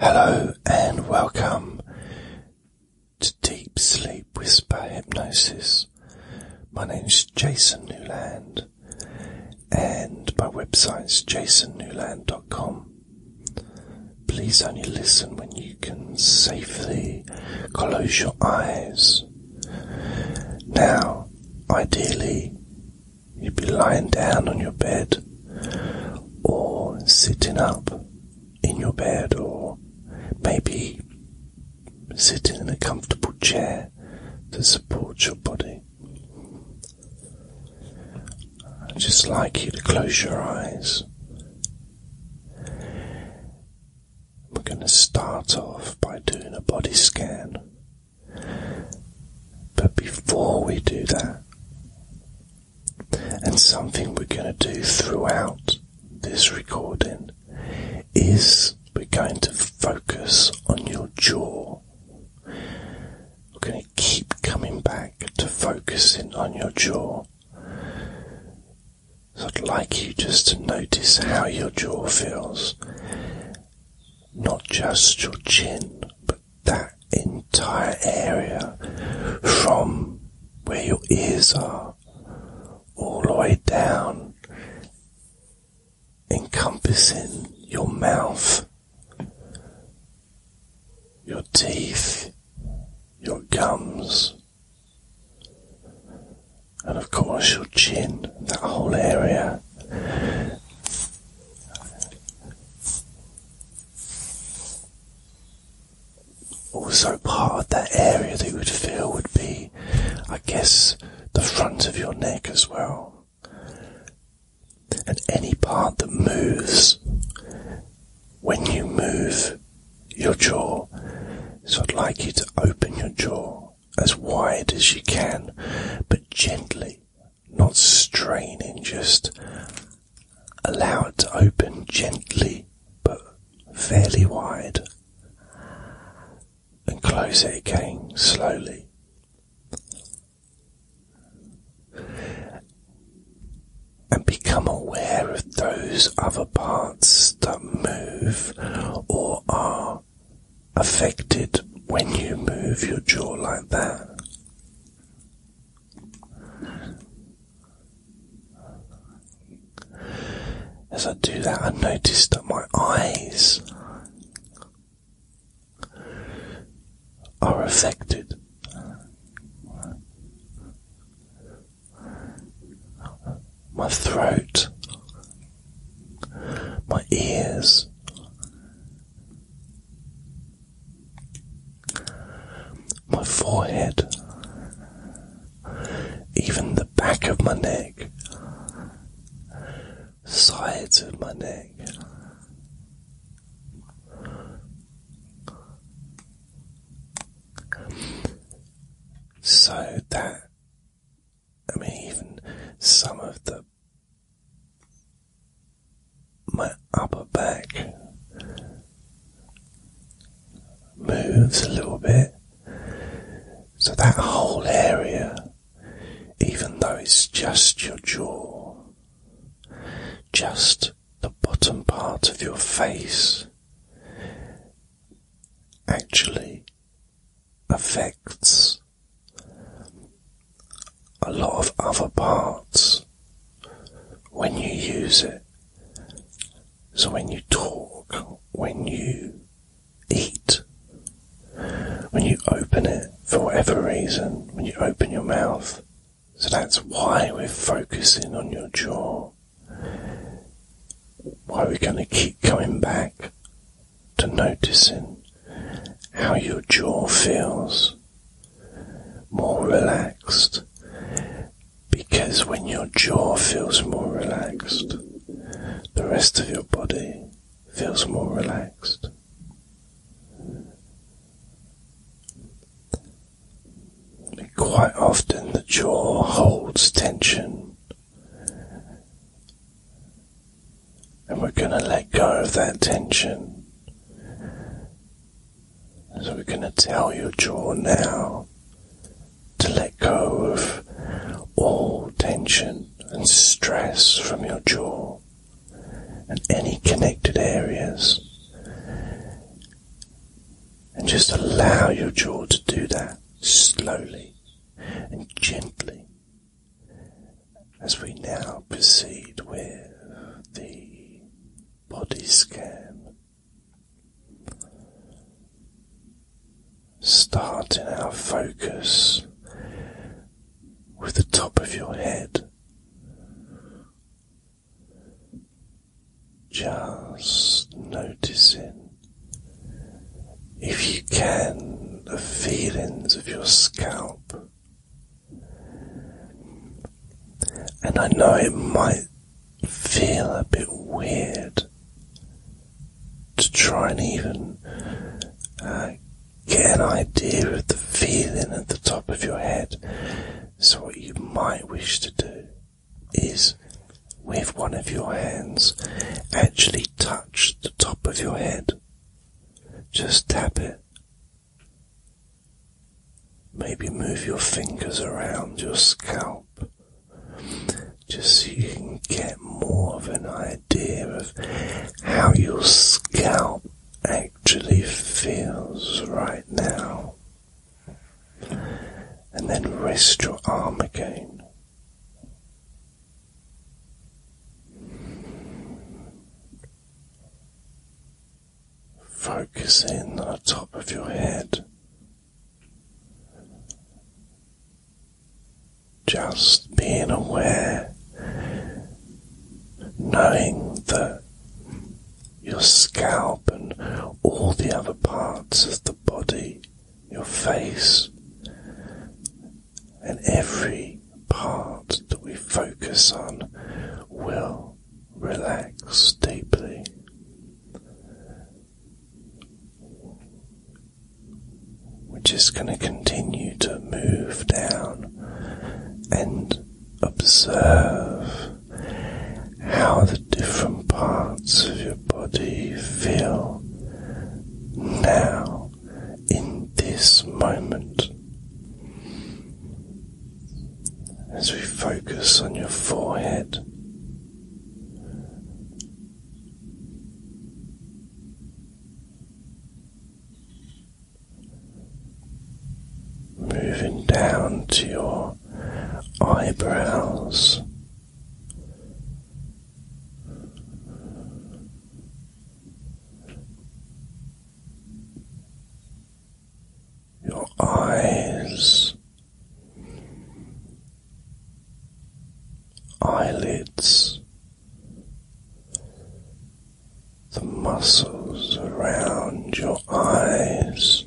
Hello and welcome to Deep Sleep Whisper Hypnosis. My name is Jason Newland and my website is jasonnewland.com. Please only listen when you can safely close your eyes. Now, ideally, you'd be lying down on your bed or sitting up in your bed, or maybe sitting in a comfortable chair to support your body. I'd just like you to close your eyes. We're going to start off by doing a body scan. But before we do that, and something we're going to do throughout this recording is we're going to focus on your jaw. We're going to keep coming back to focusing on your jaw. So I'd like you just to notice how your jaw feels. Not just your chin, but that entire area from where your ears are all the way down, encompassing your mouth, your teeth, your gums, and of course your chin, that whole area also part of that area that you would feel would be, I guess, the front of your neck as well. And any part that moves, when you move your jaw, so I'd like you to open your jaw as wide as you can, but gently, not straining, just Allow it to open gently but fairly wide, and close it again slowly. And become aware of those other parts that move or are affected when you move your jaw like that. As I do that, I notice that my eyes are affected. My throat, my ears, my forehead, even the back of my neck, sides of my neck. So that, I mean, even some of the my upper back moves a little bit. So that whole area, even though it's just your jaw, just the bottom part of your face, actually affects a lot of other parts when you use it. So when you talk, when you eat, when you open it for whatever reason, when you open your mouth. So that's why we're focusing on your jaw. Why we're going to keep coming back to noticing how your jaw feels more relaxed because when your jaw feels more relaxed, the rest of your body feels more relaxed. Quite often, the jaw holds tension, and we're going to let go of that tension so we're going to tell your jaw now to let go of all tension and stress from your jaw and any connected areas. And just allow your jaw to do that slowly and gently as we now proceed with the body scan. Starting our focus with the top of your head, just noticing if you can the feelings of your scalp and I know it might feel a bit weird to try and even uh, get an idea of the feeling at the top of your head. So, what you might wish to do is with one of your hands actually touch the top of your head. Just tap it Maybe move your fingers around your scalp just so you can get more of an idea of how your scalp actually feels right now. And then rest your arm again. Focus in on the top of your head. Just being aware, knowing that your scalp and all the other parts of the body, your face, and every part that we focus on will relax deeply. We're just going to continue to move down and observe how the different parts of your body feel now in this moment as we focus on your forehead. Moving down to your eyebrows your eyes, eyelids, the muscles around your eyes.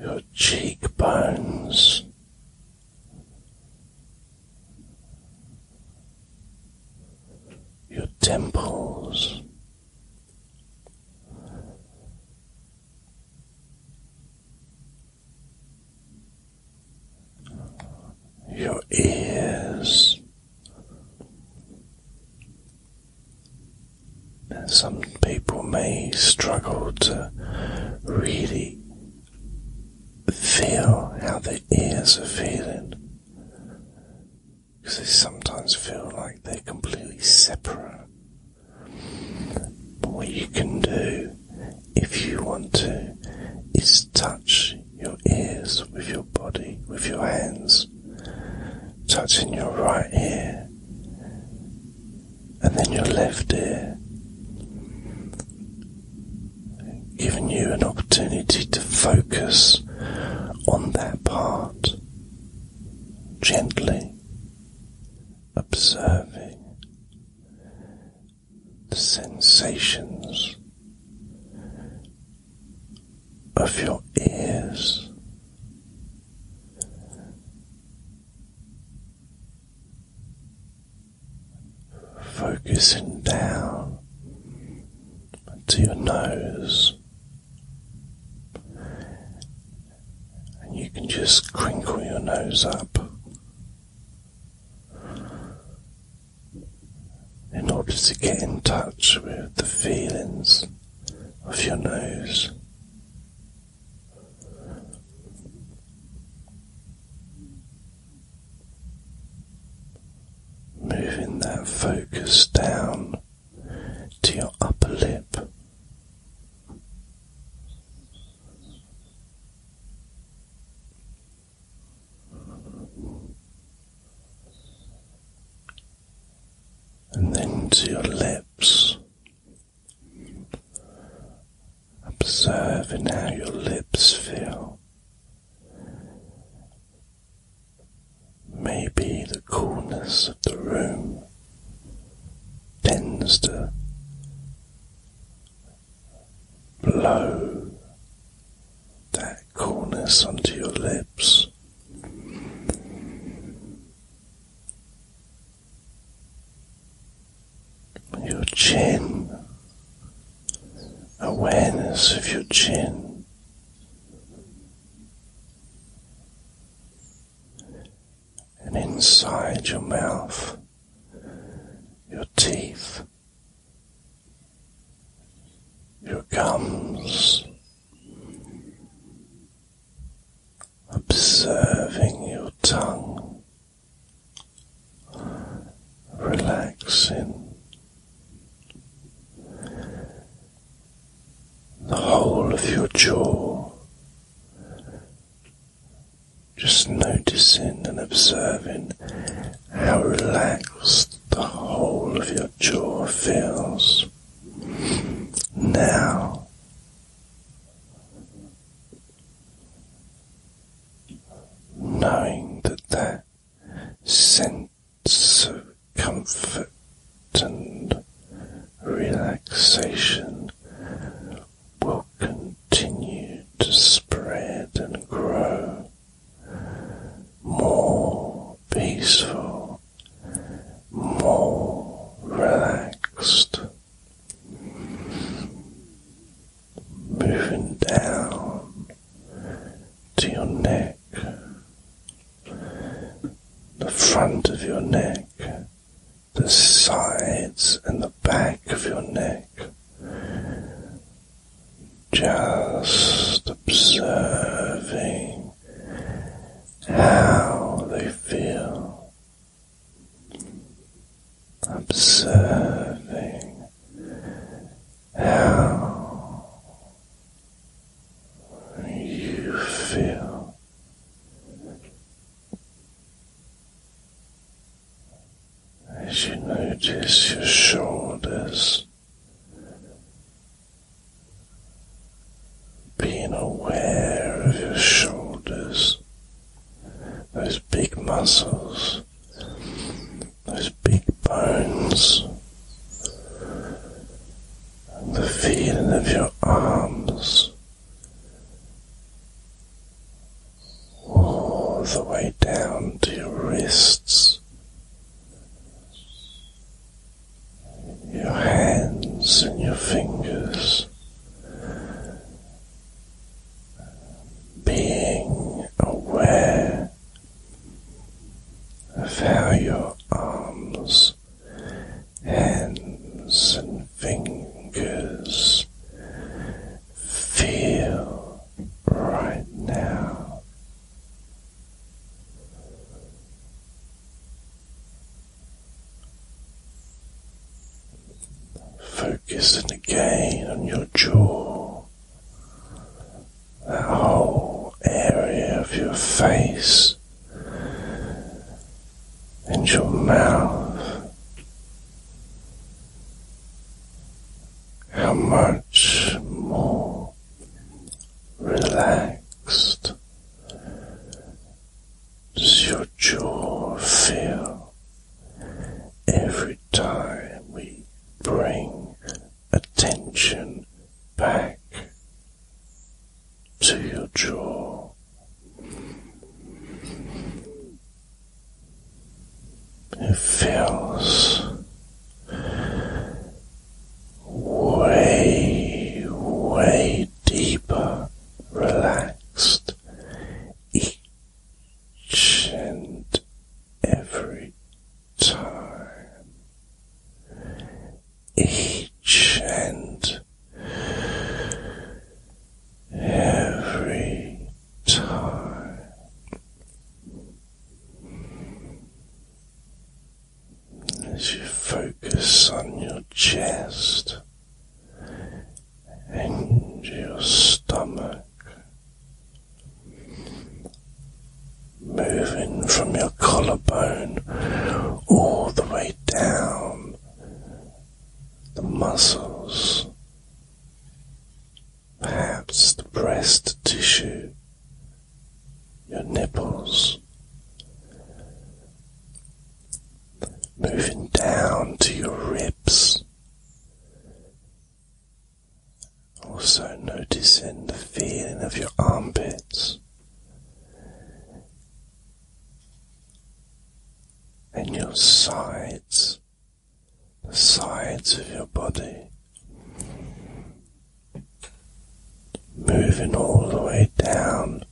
Your cheekbones, your temples. Your ears some people may struggle to really feel how the ears are feeling because they sometimes feel like they're completely separate. But what you can do, if you want to, is touch your ears with your body, with your hands, touching your right ear and then your left ear giving you an opportunity to focus on that part gently observing the sensations of your ears focusing down to your nose, and you can just crinkle your nose up in order to get in touch with the feelings of your nose. Moving that focus down to your upper lip. And then to your lips, observing how your lips feel Maybe the coolness of the room tends to blow that coolness onto your lips. Your chin awareness of your chin. And inside your mouth, your teeth, your gums, observing your tongue, relaxing the whole of your jaw, just noticing and observing how relaxed the whole of your jaw feels now. Knowing that that sense of comfort and relaxation will continue to spread and grow more peaceful, more relaxed moving down to your neck, the front of your neck, the sides and the back of your neck. Just observing how they feel, observing how you feel as you notice your shoulders being aware of your shoulders, those big muscles those big bones, and the feeling of your arms all the way down to your wrists, your hands and your fingers. Being aware Feel your arms, hands, and fingers feel right now. Focusing again on your jaw, that whole area of your face and your mouth. How much more relaxed does your jaw feel every time we bring attention back to your jaw. It feels way, way deeper, relaxed each and every time, each and every time. As you focus on your chest and your stomach moving from your collarbone all the way down the muscles, perhaps the breast tissue, your nipples, moving down to your ribs. Also, noticing the feeling of your armpits and your sides, the sides of your body, moving all the way down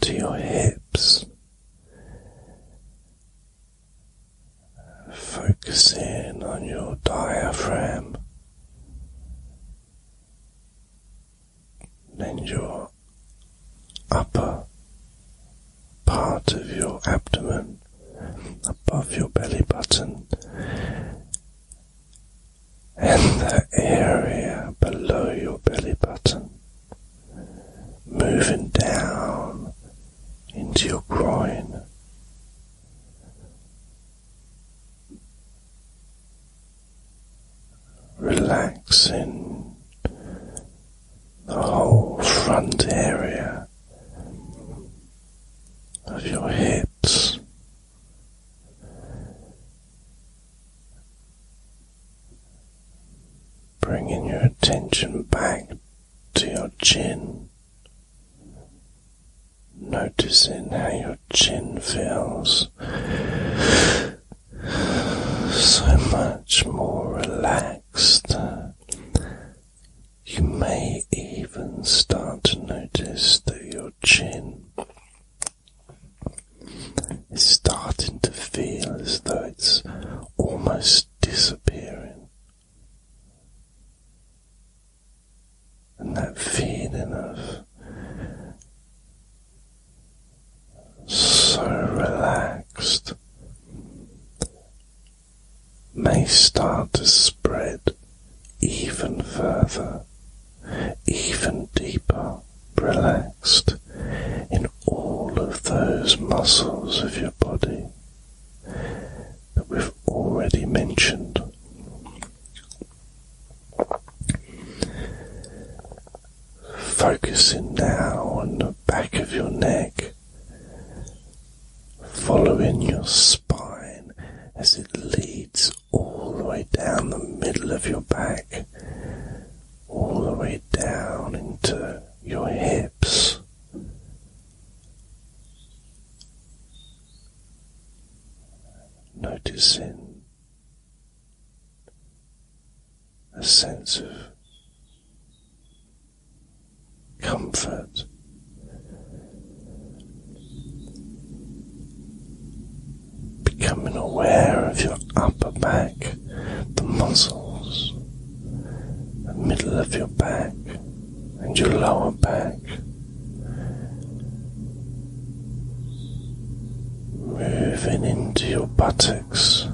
to your hips Focus in on your diaphragm, then your upper part of your abdomen above your belly button, and the area below your belly button, moving down into your groin relaxing the whole front area of your hips. Bringing your attention back to your chin, Noticing how your chin feels so much more relaxed. You may even start to notice that your chin is starting to feel as though it's almost disappearing. And that feeling of so relaxed may start to spread even further, even deeper, relaxed in all of those muscles of your body that we've already mentioned. Focusing now on the back of your neck, following your spine as it leads all the way down the middle of your back, all the way down into your hips noticing a sense of comfort. Becoming aware of your upper back, the muscles, the middle of your back, and your lower back. Moving into your buttocks,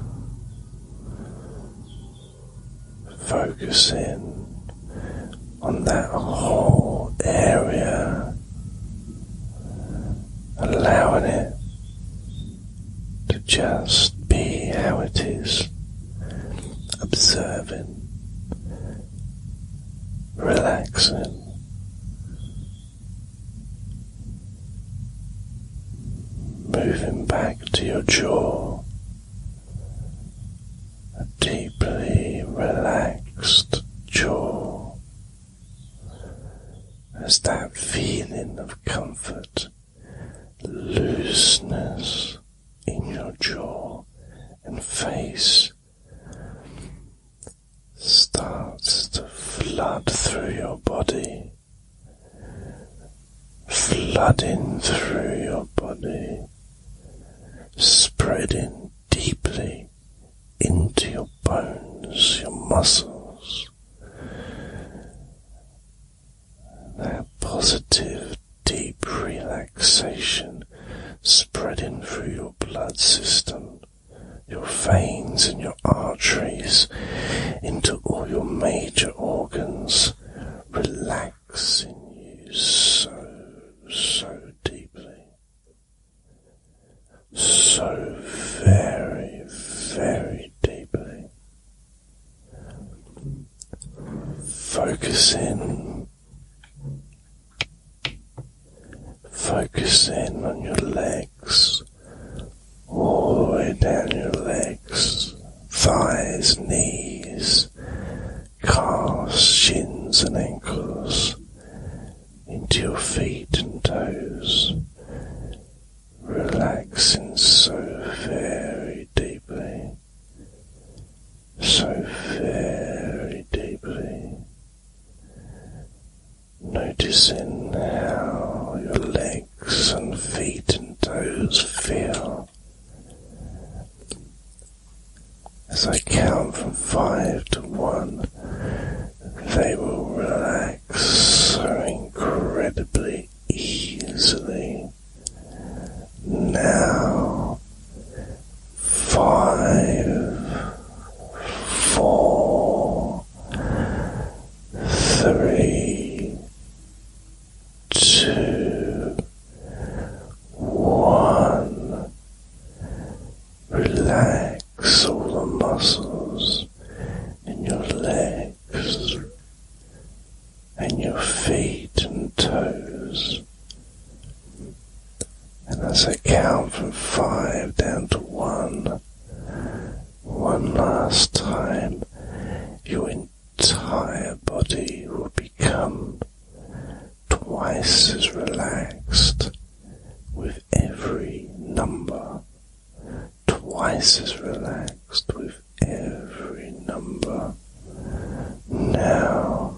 focusing on that whole area, allowing it to just be how it is, observing relaxing. Moving back to your jaw, a deeply relaxed jaw, as that feeling of comfort, looseness in your jaw and face starts to flood through your body, flooding through your body, spreading deeply into your bones, your muscles. That positive deep relaxation spreading through your blood system, your veins and your arteries, into all your major organs, relaxing you so, so deeply, so very, very deeply. Focus in Focus in on your legs, all the way down your legs, thighs, knees, calves, shins, and ankles, into your feet and toes, relaxing so very deeply so very deeply, noticing how your legs and feet and toes feel. As I count from five to one, they will relax so incredibly easily. Now five, four, three, two, one. Relax all the muscles in your legs and your feet and toes. And as I count from five down to one, one last time, your entire body will become twice as relaxed with every number, twice as relaxed with every number. Now,